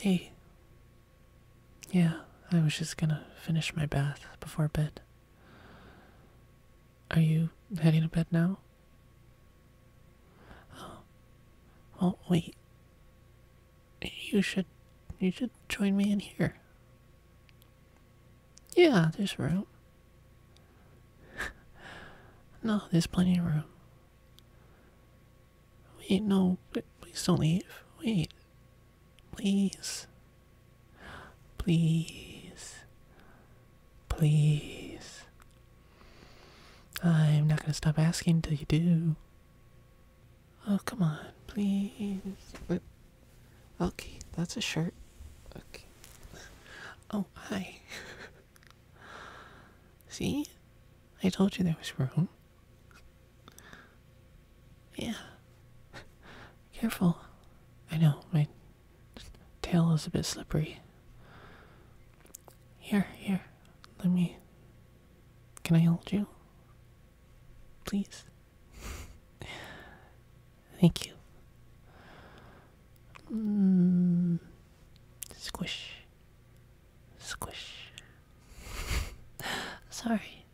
Hey. Yeah, I was just gonna finish my bath before bed. Are you heading to bed now? Oh. Well, wait. You should you should join me in here. Yeah, there's room. no, there's plenty of room. Wait, no, please don't leave. Wait. Please. Please. Please. I'm not gonna stop asking till you do. Oh, come on, please. Okay, that's a shirt. Okay. Oh, hi. See? I told you there was room. Yeah. Careful. I know, my tail is a bit slippery. Here, here. Let me. Can I hold you? Please. Thank you. Mm, Squish. Squish. Sorry.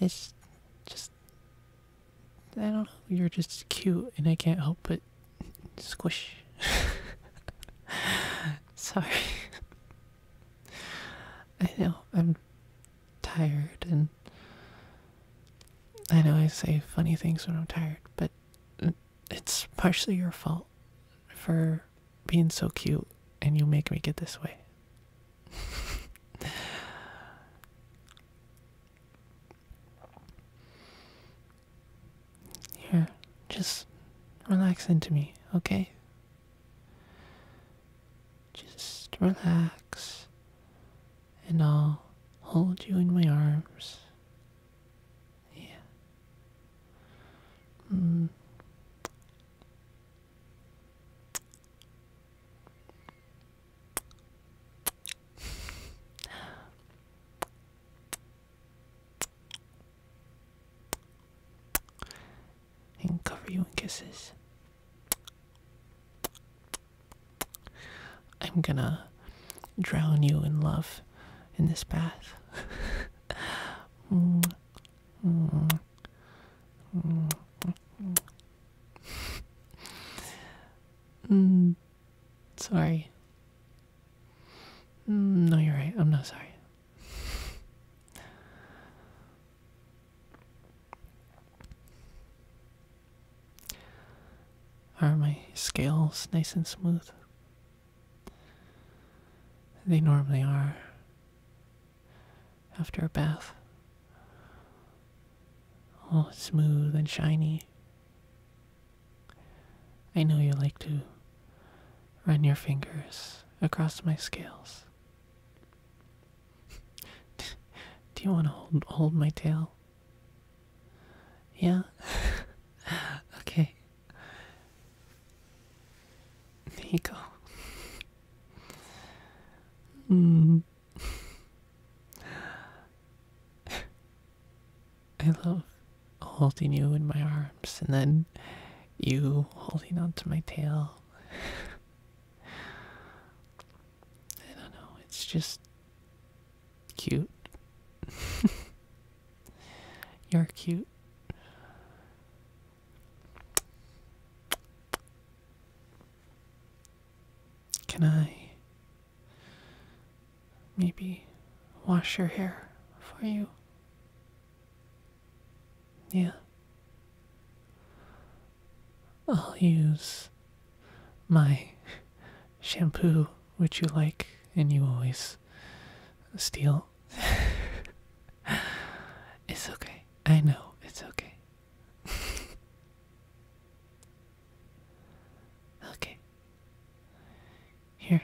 It's just. I don't know. You're just cute, and I can't help but squish. Sorry. I know. I'm tired, and I know I say funny things when I'm tired, but it's partially your fault for being so cute and you make me get this way. Here, just relax into me, okay? Just relax, and I'll hold you in my arms. Yeah. Mm. and cover you in kisses. I'm gonna drown you in love in this bath. mm, sorry. Mm, no, you're right. I'm not sorry. Are my scales nice and smooth? They normally are after a bath. All smooth and shiny. I know you like to run your fingers across my scales. Do you want to hold, hold my tail? Yeah? okay. Nico. mm. I love holding you in my arms and then you holding onto my tail. I don't know, it's just cute. You're cute. Can I maybe wash your hair for you? Yeah. I'll use my shampoo which you like and you always steal. it's okay. I know. It's okay. okay. Here.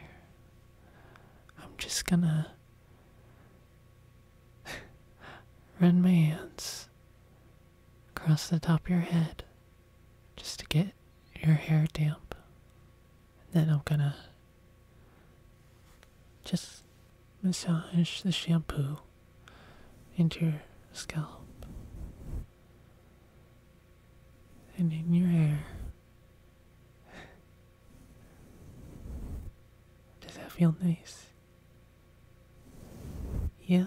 I'm just gonna run my hands across the top of your head just to get your hair damp. Then I'm gonna just massage the shampoo into your scalp and in your hair. Does that feel nice? Yeah?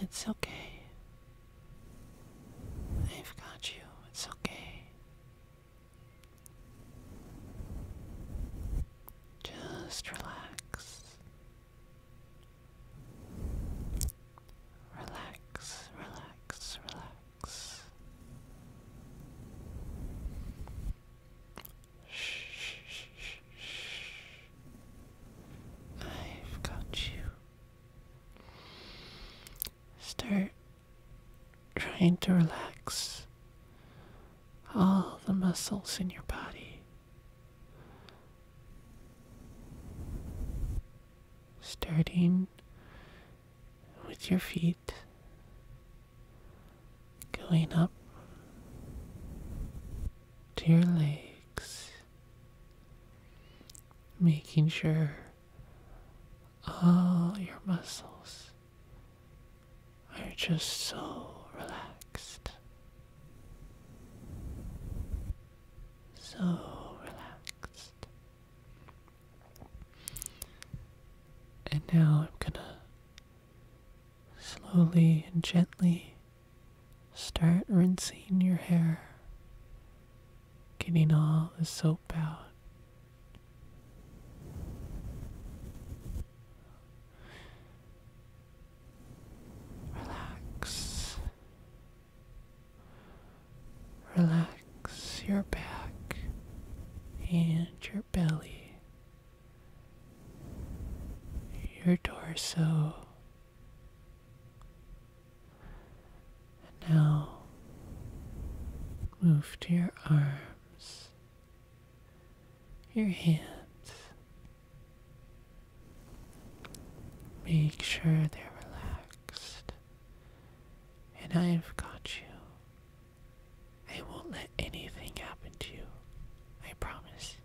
It's okay. They've got you. It's okay. Just relax. Relax, relax, relax. Shh, shh, shh, shh. I've got you. Start trying to relax all the muscles in your body. Starting with your feet, going up to your legs, making sure all your muscles are just so relaxed so relaxed. And now I'm gonna slowly and gently start rinsing your hair, getting all the soap out. Relax. Relax your back and your belly, your torso. And now move to your arms, your hands, Make sure they're relaxed. And I've got you. I won't let anything happen to you. I promise.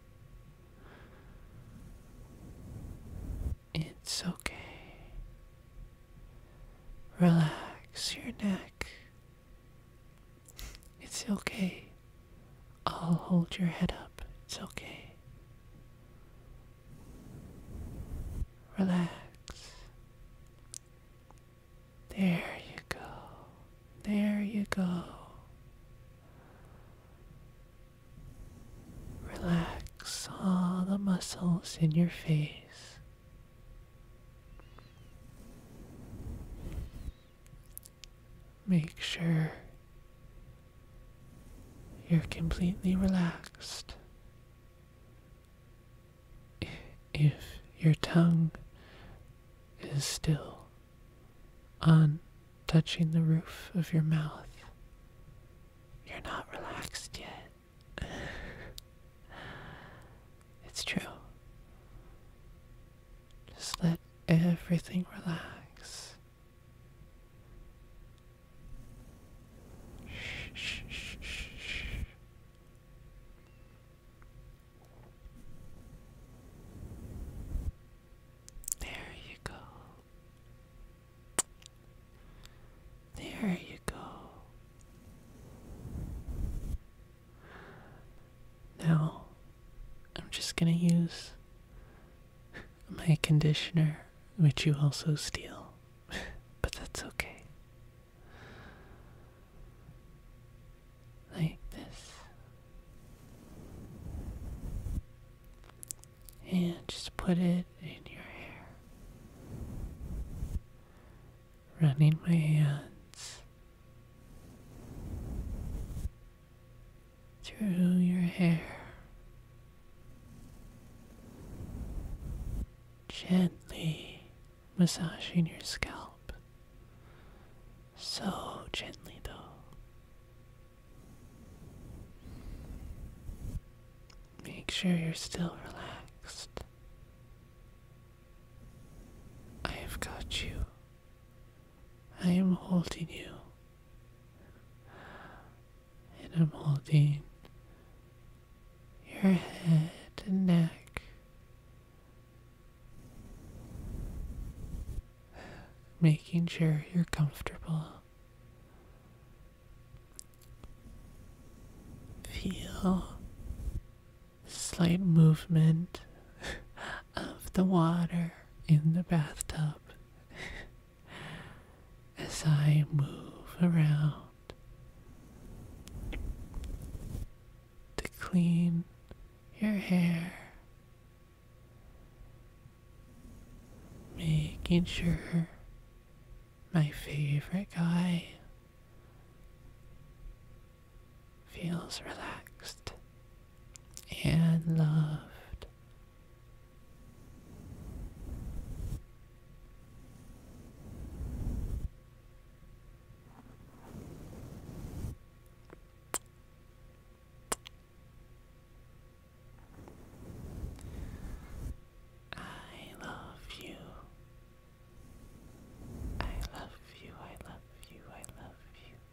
It's okay. Relax your neck. It's okay. I'll hold your head up. It's okay. Relax. There you go. There you go. Relax all the muscles in your face. Make sure you're completely relaxed. If your tongue is still on touching the roof of your mouth, you're not relaxed yet. it's true. Just let everything relax. Shh, shh, shh, shh. There you go. There you go. Now, I'm just gonna use my conditioner, which you also steal, but that's okay. Like this. And just put it in your hair. Running my hands through your hair gently massaging your scalp so gently though Make sure you're still relaxed. I have got you. I am holding you. And I'm holding your head and neck. Making sure you're comfortable. Feel slight movement of the water in the bathtub as I move around to clean your hair, making sure my favorite guy feels relaxed and loved. I love you. I love you. I love you. I love you.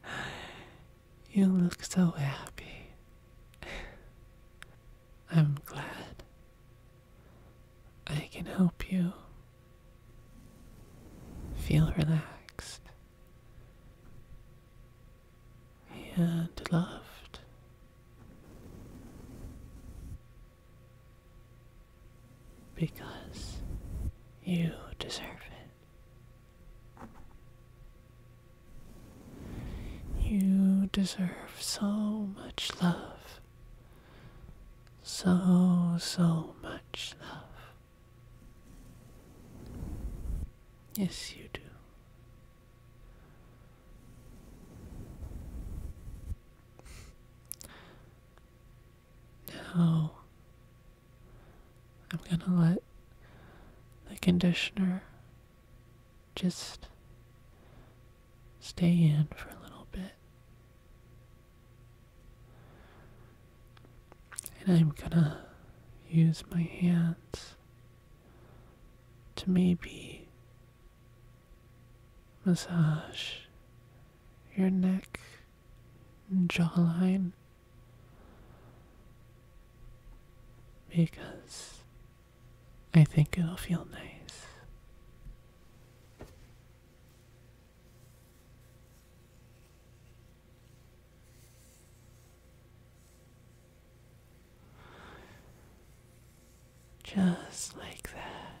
You look so happy. I'm glad I can help you feel relaxed and loved. Because you deserve it. You deserve so much love. So, so much love. Yes, you do. Now, I'm gonna let the conditioner just stay in for a little bit. And I'm gonna use my hands to maybe massage your neck and jawline because I think it'll feel nice. Just like that.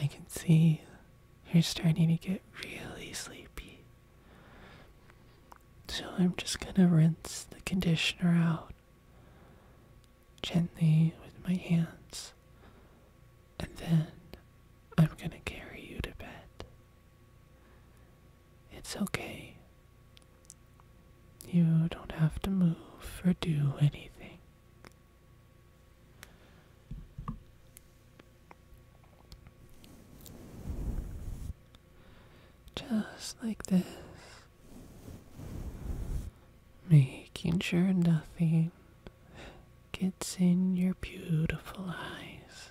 I can see you're starting to get really sleepy. So I'm just gonna rinse the conditioner out gently with my hands, and then I'm gonna carry you to bed. It's okay. You don't have to move or do anything. Just like this, making sure nothing gets in your beautiful eyes.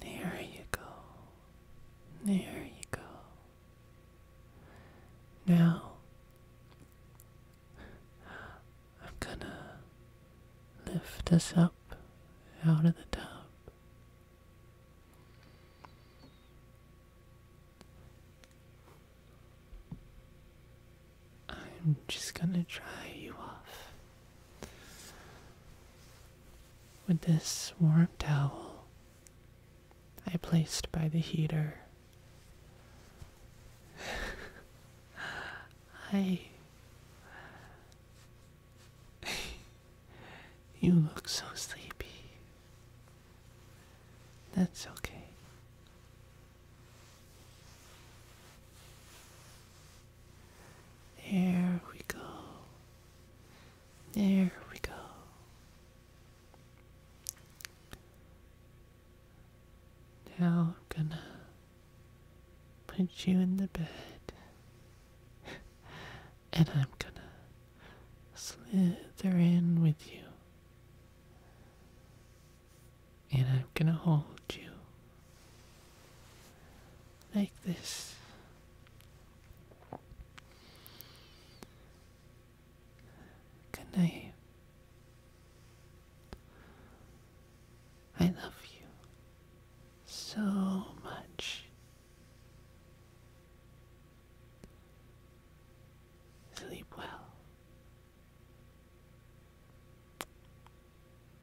There you go. There you go. Now, I'm gonna lift this up out of the tub. I'm just gonna dry you off with this warm towel I placed by the heater. I. you look so sleepy. That's okay. There we go. There we go. Now I'm gonna put you in the bed. and I'm gonna slither in with you. And I'm gonna hold you like this. Good I love you so much. Sleep well.